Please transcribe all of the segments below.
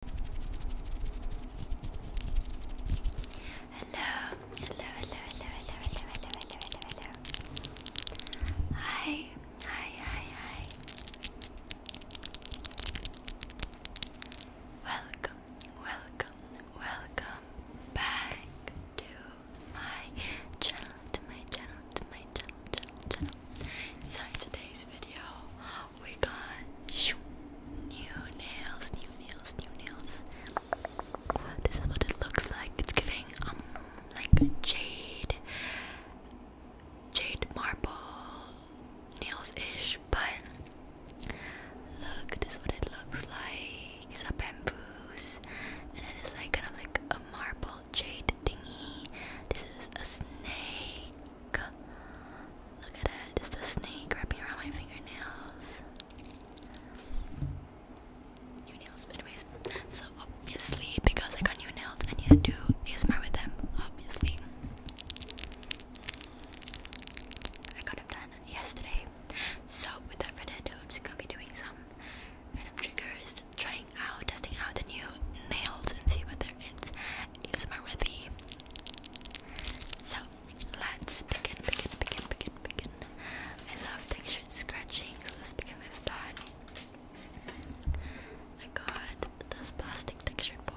Hello, hello, hello, hello, hello, hello, hello, hello, Hi, hi, hi, hi. Welcome, welcome, welcome back to my channel, to my channel, to my channel, channel. So in today's video, we got new nails, new nails, new nails. This is what it looks like. It's giving um like a jade, jade marble nails ish, but look, this is what it looks like. It's a bamboos, and it is like kind of like a marble jade thingy. This is a snake. Look at it, it's the snake wrapping around my fingernails. New nails, but So obviously, because I got new nails, I need to do ASMR with them, obviously. I got them done yesterday. So without further ado, I'm just gonna be doing some random triggers, trying out, testing out the new nails and see whether it's ASMR worthy. So let's begin, begin, begin, begin, begin. I love texture scratching, so let's begin with that. I got this plastic texture board.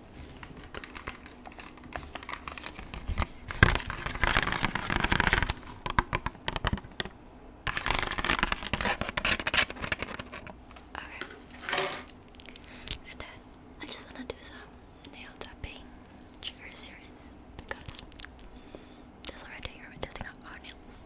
And uh, I just want to do some nail tapping trigger series because that's already here we're testing out our nails.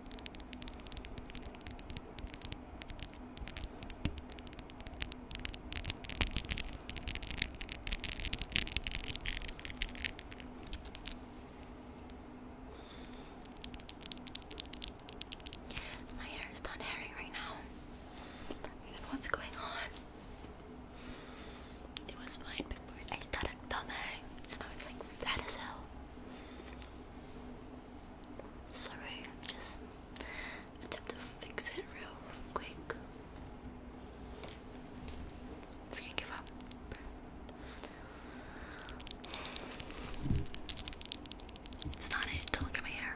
My hair is not hairy right now. what's going on? It was fine before I started filming, and I was like fat as hell. Sorry, I just attempt to fix it real quick. If you give up. It's it, don't look my hair.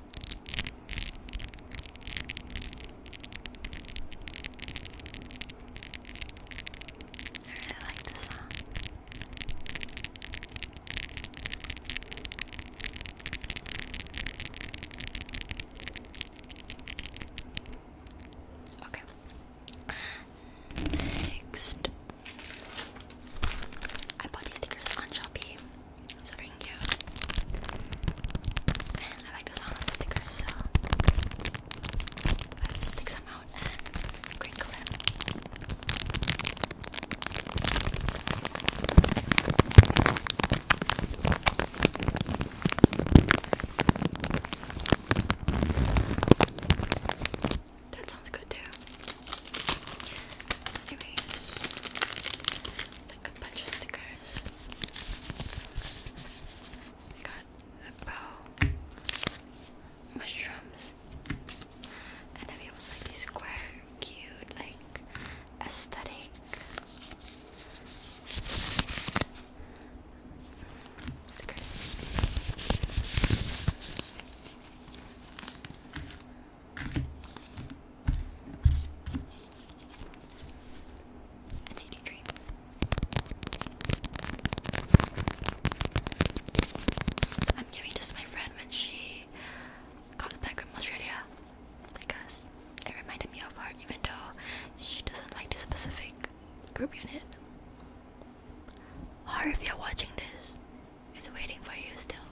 I really like the sound. Okay. Next, I bought these stickers on Shopee so freaking cute. And I like the sound of stickers, so let stick some out and crinkle them. That sounds good too. Anyways, like a bunch of stickers. I got a bow, mushrooms, and then it was like square, cute, like aesthetic. Stickers. I'm giving this to my friend when she comes back from Australia because it reminded me of her, even though she doesn't like this specific group unit. Or you're watching this, it's waiting for you still.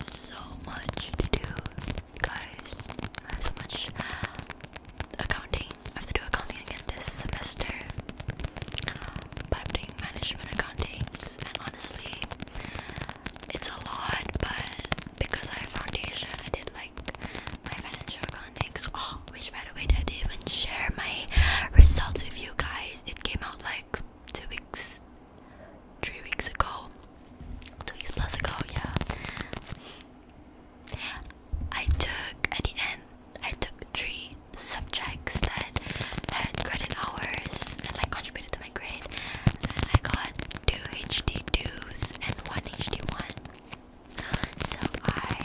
There's so much to do, guys. I have so much accounting. I have to do accounting again this semester. But I'm doing management accounting, and honestly, it's a lot. But because I have foundation, I did like my financial phonics. Oh, which by the way, I didn't even share my results with you guys. It came out like two weeks, three weeks ago, two weeks plus ago. Yeah, I took at the end. I took three subjects that had credit hours and like contributed to my grade, and I got two HD2s and one HD1. So I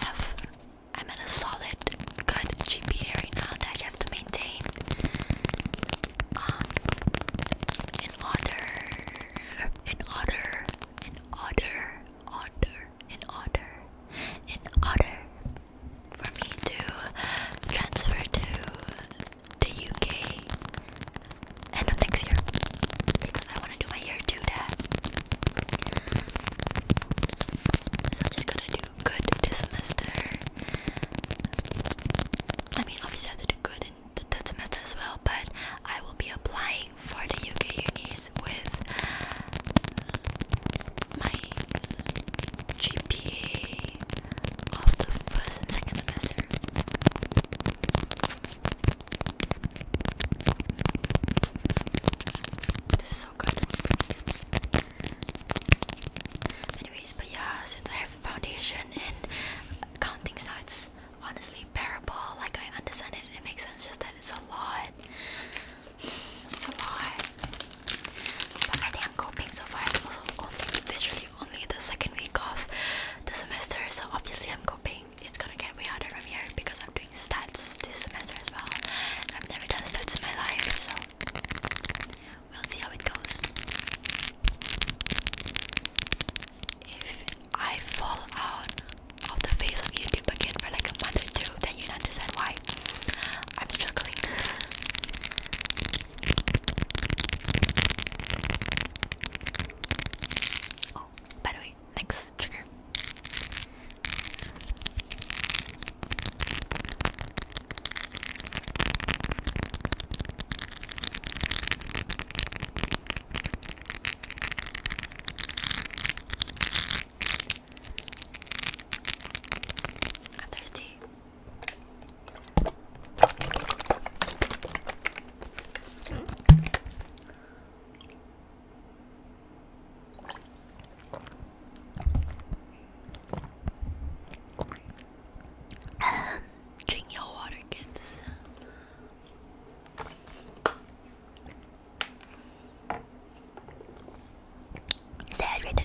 have I'm at a solid good GPA right now that I have to maintain um in order in order in order order in order in order for me to transfer to the UK end of next year because I want want to do my hair too, So I'm just gonna do good this semester. I mean, obviously I have to do good in that semester as well, but I will be applying for the UK unis with my GPA of the first and second semester. This is so good. Anyways, but yeah, since I have foundation and counting sites, honestly, parable, like I understand it, it makes sense, just that it's a lot. so a But I think I'm coping so far. It's also only literally only the second week of the semester, so obviously I'm coping it's gonna get way harder from here because I'm doing stats this semester as well. I've never done stats in my life, so we'll see how it goes. If I fall out of the face of YouTube again for like a month or two, then you'd understand why I'm struggling. Oh, by the way, next trigger. I'm thirsty. Drink your water, kids. Stay hydrated.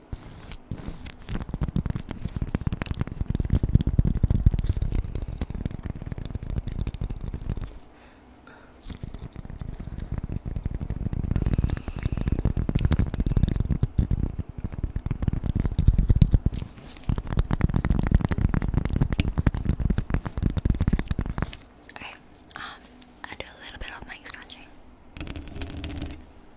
Alright, um, I do a little bit of mic scratching.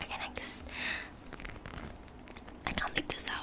Okay, next. I can't leave this out.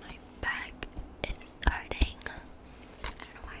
My back is hurting. I don't know why.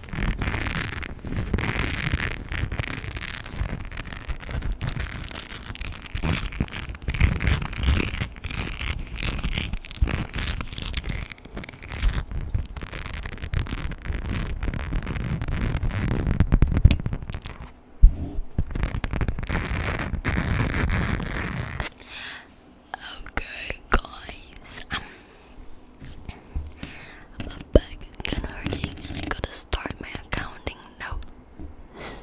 Okay, guys. Um, I'm is kinda hurting and I gotta start my accounting notes.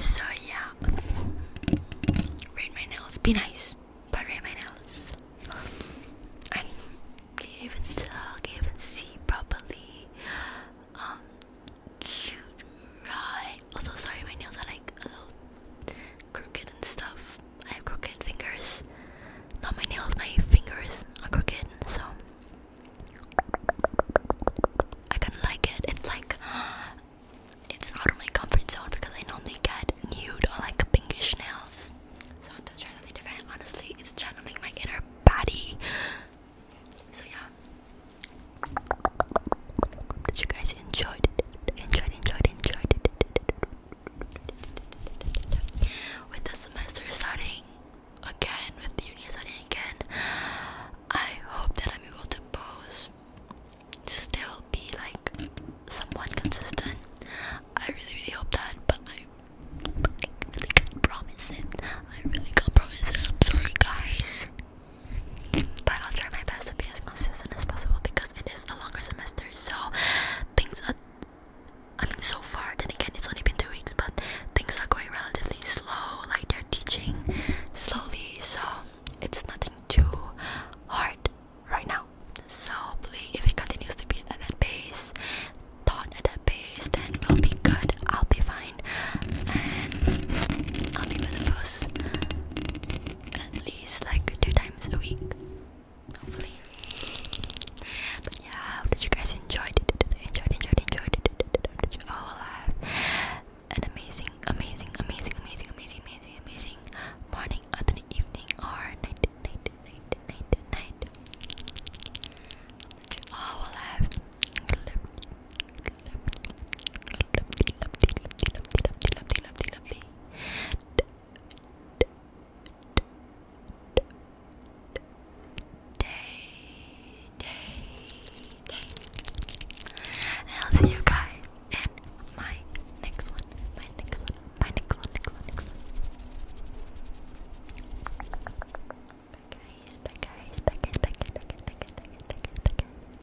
so yeah. Read my nails. Be nice. But read my nails. I can't even uh, tell, can't even see properly. Um cute right. Also sorry my nails are like crooked and stuff. I have crooked fingers. Not my nails, my fingers are crooked, so I kinda like it. It's like it's out of my comfort zone because I normally get nude or like pinkish nails. So to try something different, honestly, it's channeling my inner body. So yeah, that you guys enjoyed it, enjoyed, enjoyed, enjoyed it. With the semester starting again, with the uni starting again, I hope that I'm able to post, still be like somewhat consistent. I really, really hope that, but I. I really can't promise it. I really can't promise it. I'm sorry, guys. But I'll try my best to be as consistent as possible because it is a longer semester, so things are. I mean, so far, then again, it's only been two weeks, but things are going relatively slow. Like they're teaching slowly, so it's nothing too hard right now. So, hopefully, if it continues to be at that pace, taught at that pace, then we'll be good. I'll be fine, and I'll be one of those at least like two times a week, hopefully. But yeah, I hope that you guys enjoyed it, enjoyed, enjoyed, enjoyed it. will have an amazing, amazing, amazing, amazing, amazing, amazing, amazing morning, afternoon, evening, or night, night, night, night, night. I will have and I'll see you guys in my next one. My next one. My next one. Next one. Next one. Bye guys. Bye